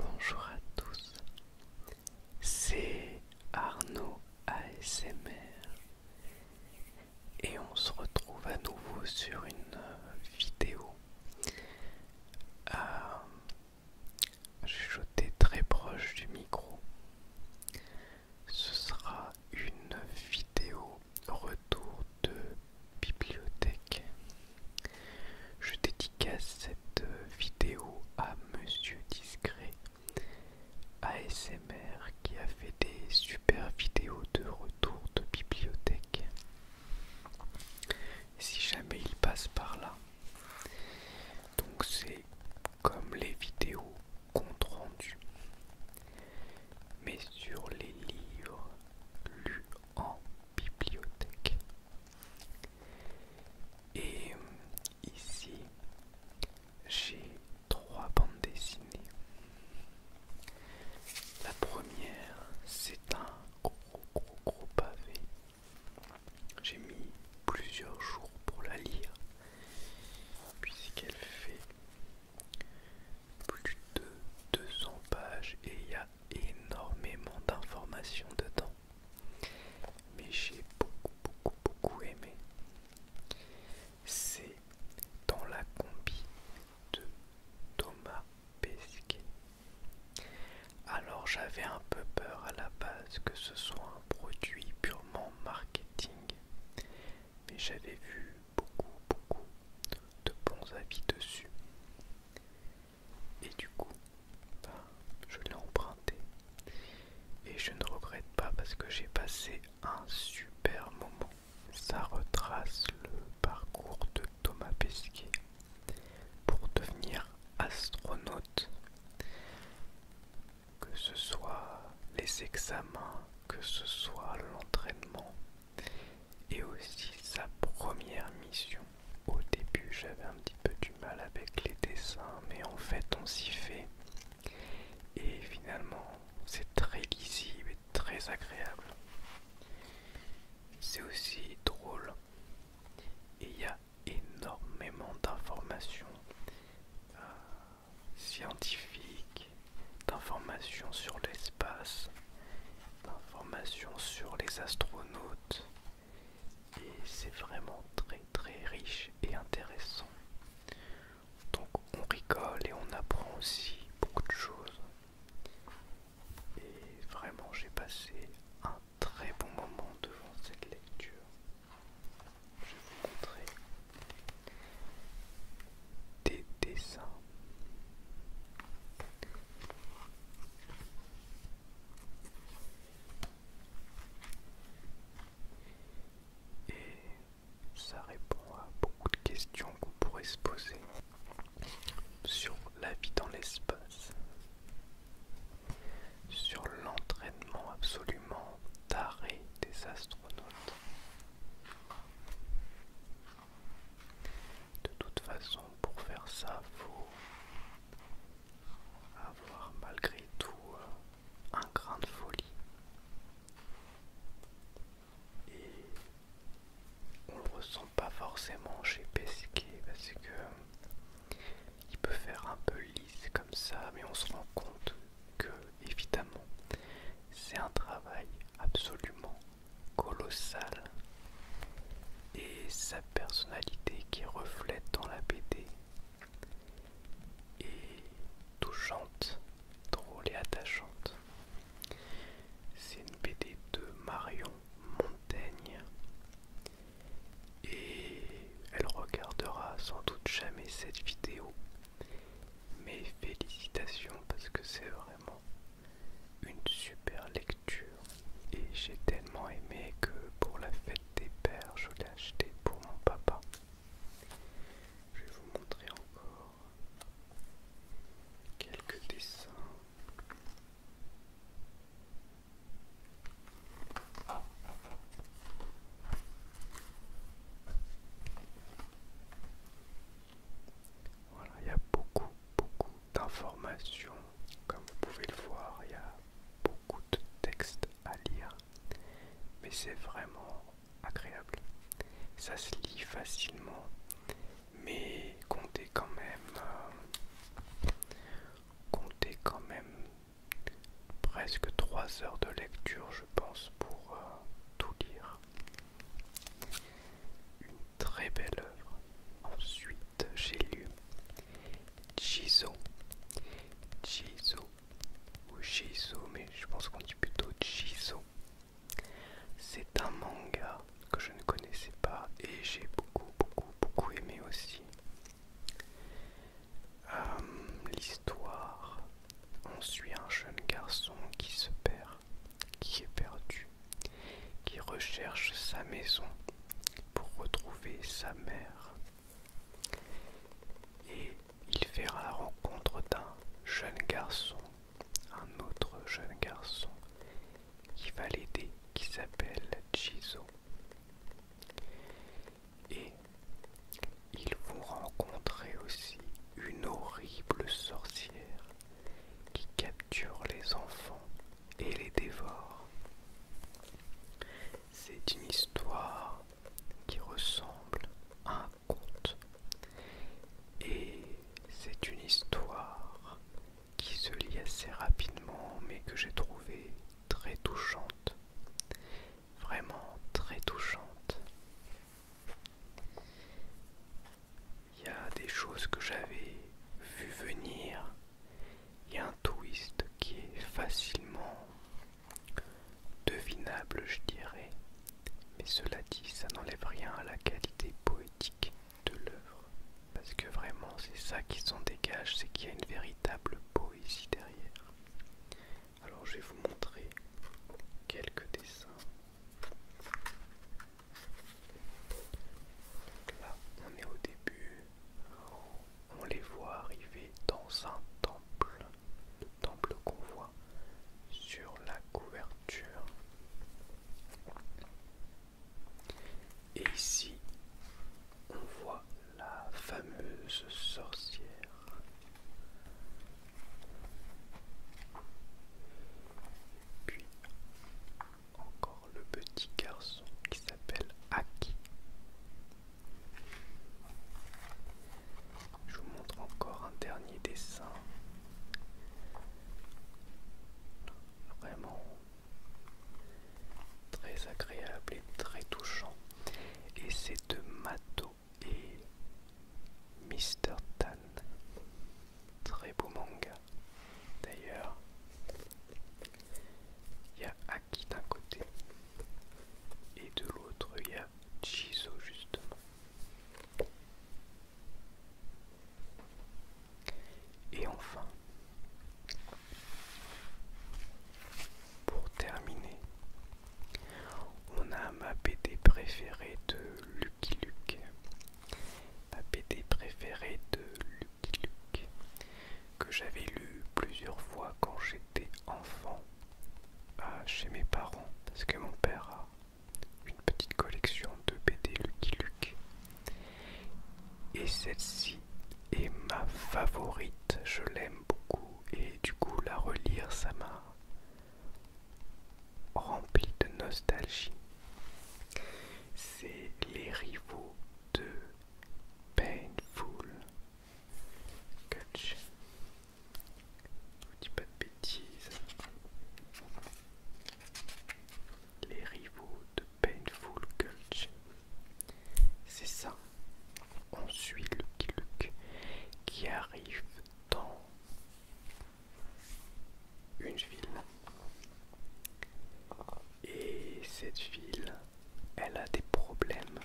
Bonjour à tous, c'est Arnaud ASMR et on se retrouve à nouveau sur une euh, vidéo. Euh, je suis très proche du micro ce sera une vidéo retour de bibliothèque. Je dédicace cette vidéo à Monsieur Discret ASMR qui a fait des super vidéos de retour de bibliothèque. Si jamais il passe par là. Donc c'est comme les vidéos compte rendu mais sur les livres lus en bibliothèque. Et ici, j'ai trois bandes dessinées. La première, c'est un gros gros gros pavé j'ai mis plusieurs jours pour la lire, puisqu'elle fait plus de 200 pages et il y a énormément d'informations dedans. Mais j'ai beaucoup, beaucoup, beaucoup aimé. C'est dans la combi de Thomas Pesquet. Alors j'avais un peu peur à la base que ce soit un produit pur mon marketing, mais j'avais vu beaucoup, beaucoup de bons avis dessus. Et du coup, ben, je l'ai emprunté. Et je ne regrette pas parce que j'ai passé un super moment. Ça retrace le parcours de Thomas Pesquet pour devenir astronaute que ce soit les examens, que ce soit l'entraînement. Et aussi sa première mission. Au début j'avais un petit peu du mal avec les dessins, mais en fait on s'y fait. Et finalement c'est très lisible et très agréable. C'est aussi drôle. Et il y a énormément d'informations euh, scientifiques, d'informations sur l'espace, d'informations sur les astronautes. Et c'est vraiment très très riche et intéressant. Donc on rigole et on apprend aussi beaucoup de choses. Et vraiment j'ai passé un très bon moment devant cette lecture. Je vais vous montrer des dessins. Et ça répond à beaucoup de questions qu'on pourrait se poser sur la vie dans l'espace sur l'entraînement absolument taré des astronautes. De toute façon, pour faire ça, faut avoir malgré tout euh, un grain de folie. Et on le ressent pas forcément chez Pesquet parce que il peut faire un peu lisse comme ça, mais on se rend compte que, évidemment, c'est un travail absolument colossal. Et sa personnalité qui reflète dans la BD est touchante, drôle et attachante. C'est une BD de Marion Montaigne et elle regardera sans doute jamais cette vidéo mais félicitations parce que c'est vraiment une super lecture et j'ai tellement aimé que pour la fête des pères je l'ai acheté pour mon papa je vais vous montrer encore quelques dessins voilà, il y a beaucoup, beaucoup d'informations. Comme vous pouvez le voir, il y a beaucoup de textes à lire. Mais c'est vraiment agréable. Ça se lit facilement. Mais comptez quand même euh, compter quand même presque 3 heures de lecture, je pense, pour euh, tout lire. Une très belle œuvre. Ensuite, j'ai lu Jiso Jiso ou Chizo, mais je pense qu'on dit plutôt Jizo C'est un manga que je ne connaissais pas et j'ai beaucoup, beaucoup, beaucoup aimé aussi. Euh, l'histoire, on suit un jeune garçon qui se perd, qui est perdu, qui recherche sa maison pour retrouver sa mère. Et il fera la rencontre d'un jeune garçon, un autre jeune garçon qui va l'aider, qui s'appelle Jizo. Et ils vont rencontrer aussi une horrible sorcière qui capture les enfants et les dévore. C'est une histoire qui ressemble à un conte. Et c'est une histoire qui se lie assez rapidement mais que j'ai trouvé très touchante. Vraiment très touchante. Il y a des choses que j'avais vu venir. Il y a un twist qui est facilement devinable, je dirais. Mais cela dit, ça n'enlève rien à la qualité poétique de l'œuvre. Parce que vraiment, c'est ça qui s'en dégage, c'est qu'il y a une véritable poésie derrière. Alors je vais vous montrer quelques dessins. Là, on est au début. On les voit arriver dans un temple. Le temple qu'on voit sur la couverture. Et ici, on voit la fameuse sorcière. Puis, encore le petit garçon qui s'appelle Aki. Je vous montre encore un dernier dessin vraiment très agréable et très touchant. Et c'est de Mato et Mr. Tan. Très beau manga. D'ailleurs, il y a Aki d'un côté et de l'autre il y a Chizo justement. Et enfin, pour terminer, on a ma BD préférée de Lucky Luke. Ma BD préférée de Lucky Luke que j'avais lu plusieurs fois quand j'étais enfant euh, chez mes parents parce que mon père a une petite collection de BD Lucky Luke. Et celle-ci est ma favorite, je l'aime beaucoup et du coup la relire ça m'a rempli de nostalgie. C'est les rivaux de Painful Cutch. Je vous dis pas de bêtises. Les rivaux de Painful Gulch. C'est ça. On suit Lucky Luke qui arrive dans une ville. Et cette ville, elle a des problèmes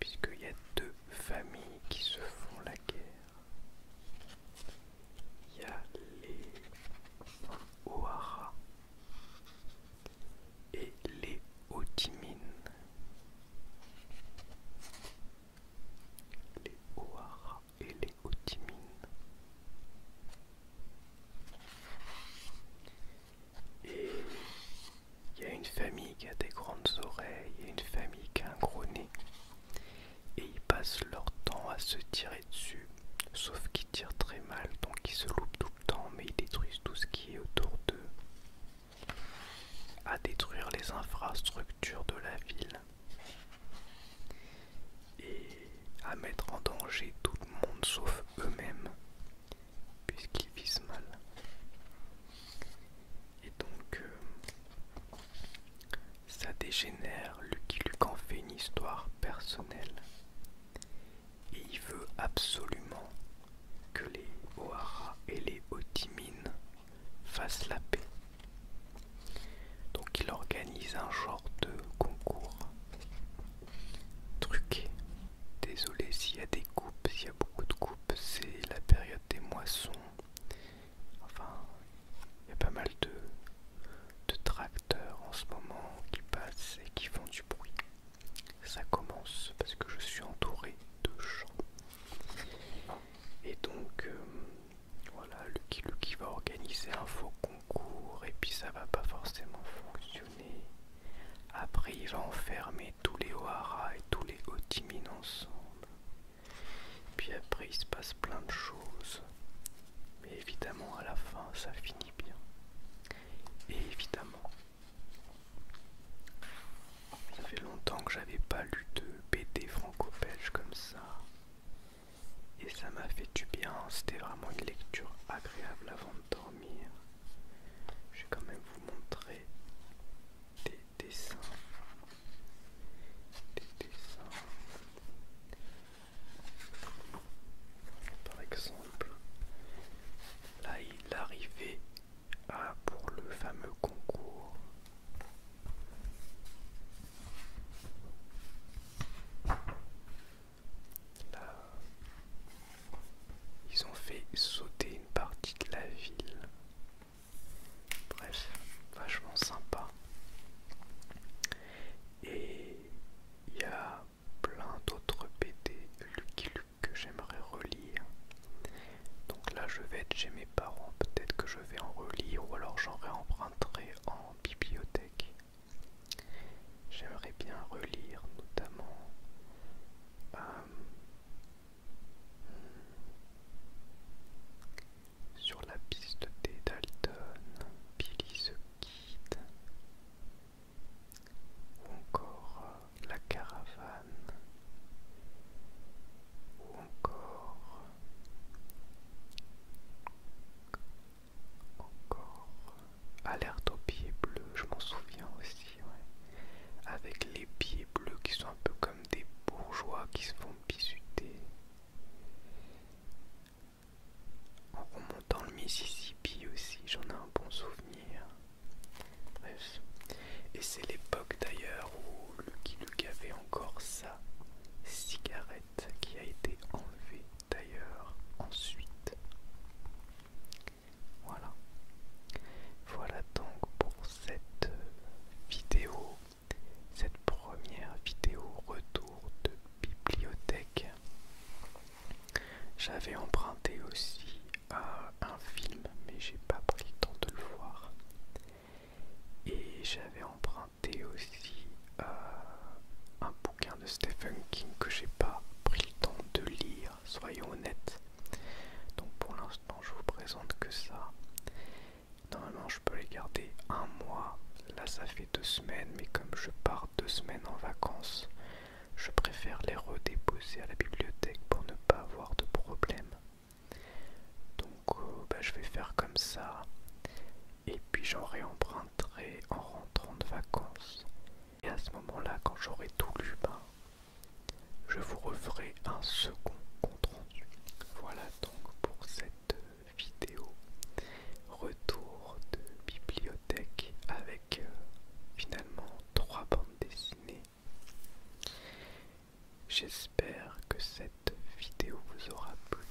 puisqu'il y a deux familles qui se font la guerre. Il y a les O'Hara et les Otimines. Les O'Hara et les Otimines. Et il y a une famille qui a des grandes oreilles et une famille qui a un gros nez et ils passent leur temps à se tirer dessus, sauf qu'ils tirent très mal, donc ils se loupent tout le temps, mais ils détruisent tout ce qui est autour d'eux. À détruire les infrastructures de la ville et à mettre en danger tout le monde sauf eux-mêmes, puisqu'ils visent mal. Et donc, euh, ça dégénère. Lucky Luc en fait une histoire personnelle. Et il veut absolument que les O'Hara et les Otimines fassent la paix. Donc il organise un genre de concours truqué. Désolé s'il y a des coupes, s'il y a beaucoup de coupes, c'est la période des moissons. Enfin, il y a pas mal de, tracteurs en ce moment qui passent et qui font du bruit. Ça commence parce que je suis entouré de champs. Et donc, euh, voilà, Lucky qui va organiser un faux concours et puis ça va pas forcément fonctionner. Après, il va enfermer tous les O'Hara et tous les Otimin ensemble. Puis après, il se passe plein de choses. Mais évidemment, à la fin, ça finit bien. Et évidemment, ça fait longtemps que j'avais pas lu de BD franco-belge comme ça. Et ça m'a fait du bien. C'était vraiment une lecture agréable avant de dormir. Je vais quand même vous montrer des des dessins, des dessins. Par exemple, là il arrivait à pour le fameux concours. Là, ils ont fait sauter une partie de la ville. Bref, vachement sympa. Et il y a plein d'autres BD Lucky Luke que j'aimerais relire. Donc là, je vais être chez mes parents. Peut-être que je vais en relire ou alors j'en réemprunterai en bibliothèque. J'aimerais bien relire notamment euh, sur la piste des Dalton, Billy se quitte. Ou encore euh, la caravane. Ou encore... Encore... Alerte aux pieds bleus, je m'en souviens aussi, ouais. Avec les pieds bleus qui sont un peu comme des bourgeois qui se font pisuter En remontant le Mississippi aussi, j'en ai un bon souvenir. Bref. Et c'est l'époque d'ailleurs où le Luke avait encore sa cigarette qui a été enlevée d'ailleurs ensuite. Voilà. Voilà donc pour cette euh, vidéo, cette première vidéo retour de bibliothèque. J'avais emprunté aussi un film, mais j'ai pas pris le temps de le voir. Et j'avais emprunté aussi un bouquin de Stephen King que j'ai pas pris le temps de lire, soyons honnêtes. Donc pour l'instant, je vous présente que ça. Normalement je peux les garder un mois. Là ça fait deux semaines, mais comme je pars deux semaines en vacances, je préfère les redéposer à la bibliothèque pour ne pas avoir de problème. Donc euh, bah, je vais faire comme ça. Et puis j'en réemprunterai en rentrant de vacances. Et à ce moment-là, quand j'aurai tout lu, ben, je vous referai un second compte rendu. Voilà donc pour cette vidéo. Retour de bibliothèque avec euh, finalement trois bandes dessinées. J'espère que cette vidéo vous aura plu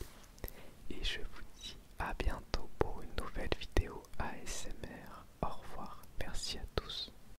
et je vous dis à bientôt pour une nouvelle vidéo ASMR. Au revoir, merci à tous.